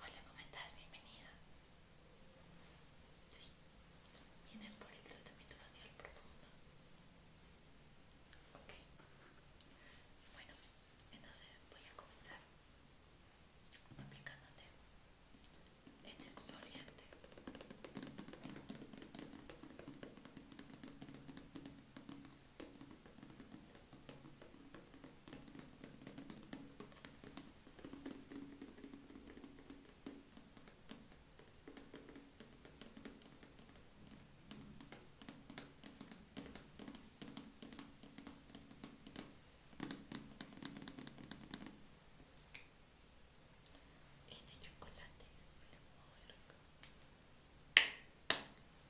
Hola, ¿cómo estás? Bienvenida. Sí. Vienes por el tratamiento facial profundo. Ok. Bueno, entonces voy a comenzar aplicándote este exfoliante. Este chocolate huele muy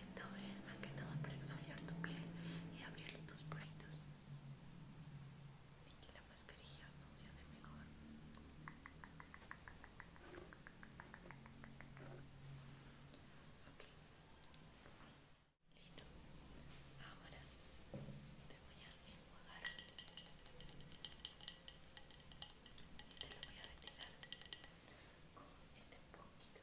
esto es más que todo para exfoliar tu piel y abrirle tus puertos. Y que la mascarilla funcione mejor. Listo. Ahora te voy a enjuagar y te lo voy a retirar con este poquito.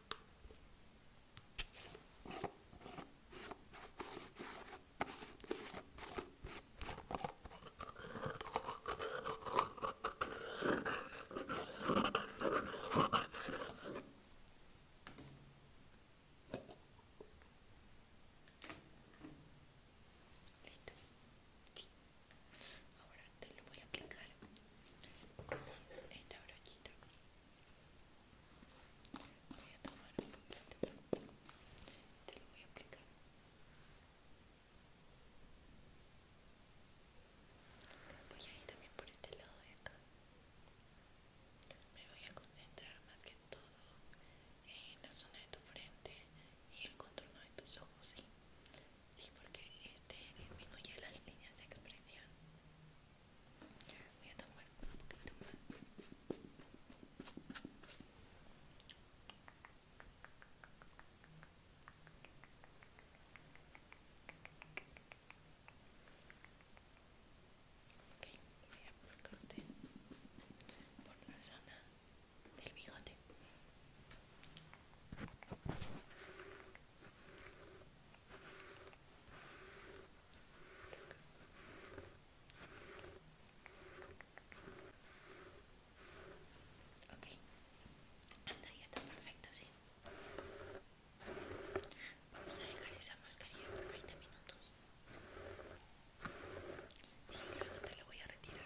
Listo. Ahora te lo voy a aplicar con esta brochita. Voy a tomar un poquito. Te lo voy a aplicar. Voy a ir también por este lado de acá. Me voy a concentrar más que todo en la zona de tu frente y el contorno de tus ojos, ¿sí? Sí, porque este disminuye las líneas de expresión. Voy a tomar un poquito más. Ok, voy a cartel por la zona del bigote. Ok, ya está perfecto, sí. Vamos a dejar esa mascarilla por 20 minutos. Sí, luego te la voy a retirar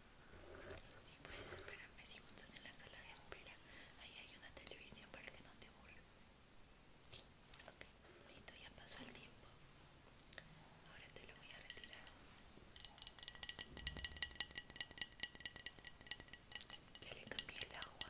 si puedes esperarme si juntos en la sala de espera. Ahí hay una televisión para que no te vuelva. Ok, listo, ya pasó el tiempo. Ahora te lo voy a retirar. Ya le cambié el agua.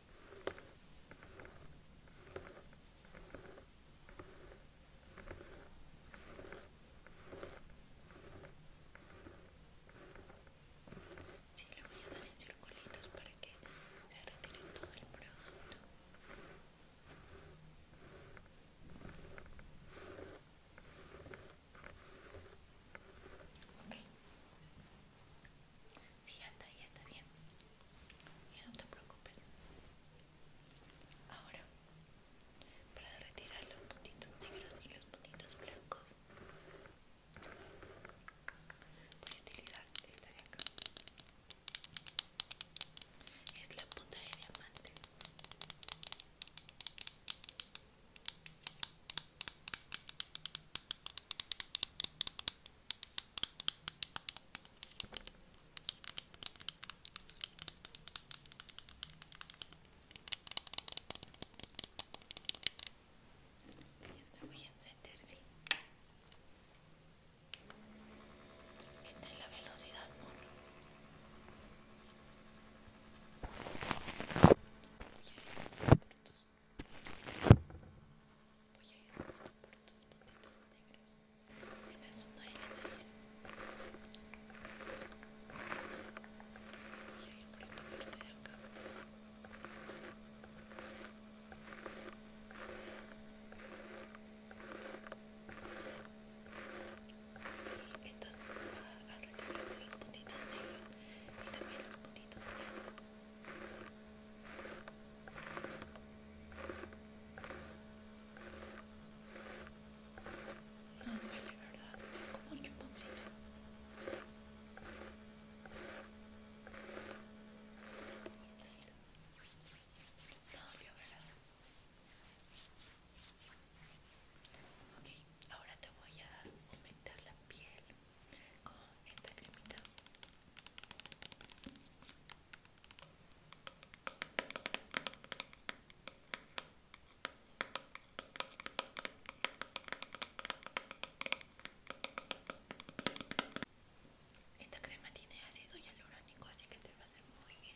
Sí, le voy a dar en circulitos para que se retire todo el producto. Ok, si ya está, ya está bien. Y no te preocupes. Ahora, para retirar los puntitos negros y los puntitos blancos, voy a utilizar esta de acá. Es la punta de diamante voy a encender, Esta es la velocidad cortos. Voy a ir justo por tus puntitos negros en la zona de la nariz. Voy a ir por esta parte de acá. Voy a ir esto es a ah, retirar los puntitos negros y también los puntitos de... No duele, ¿verdad? Es como un chuponcito. No, verdad. Ok, ahora te voy a aumentar la piel con esta cremita. Esta crema tiene ácido hialurónico, así que te va a hacer muy bien.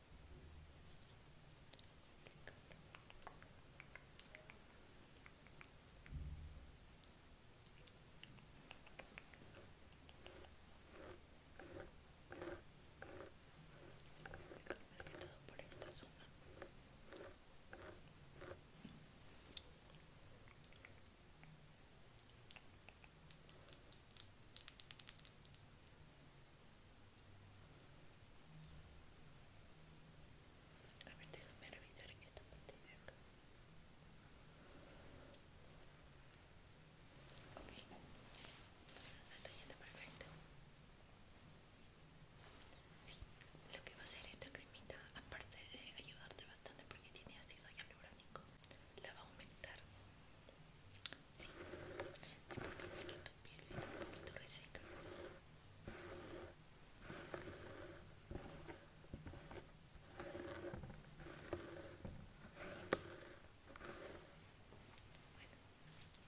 Más que todo por esta zona. A ver, déjame revisar esta parte de acá. Ok, hasta ya está perfecto. Sí, lo que va a hacer esta cremita, aparte de ayudarte bastante porque tiene ácido hialurónico, la va a aumentar Sí, porque vi que tu piel está un poquito reseca.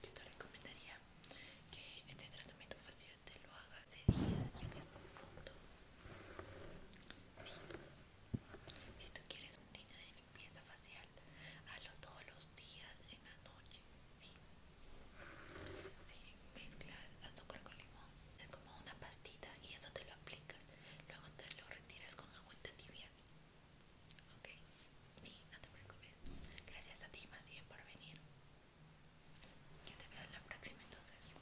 Bueno, yo te recomendaría que este tratamiento facial te lo hagas de día, ya que es profundo. Sí, si tú quieres un rutina de limpieza facial, hazlo todos los días en la noche. Sí. Sí, azúcar con limón, es como una pastita y eso te lo aplicas. Luego te lo retiras con agüita tibia. Ok, sí, no te preocupes. Gracias a ti más bien por venir. Yo te veo en la próxima entonces.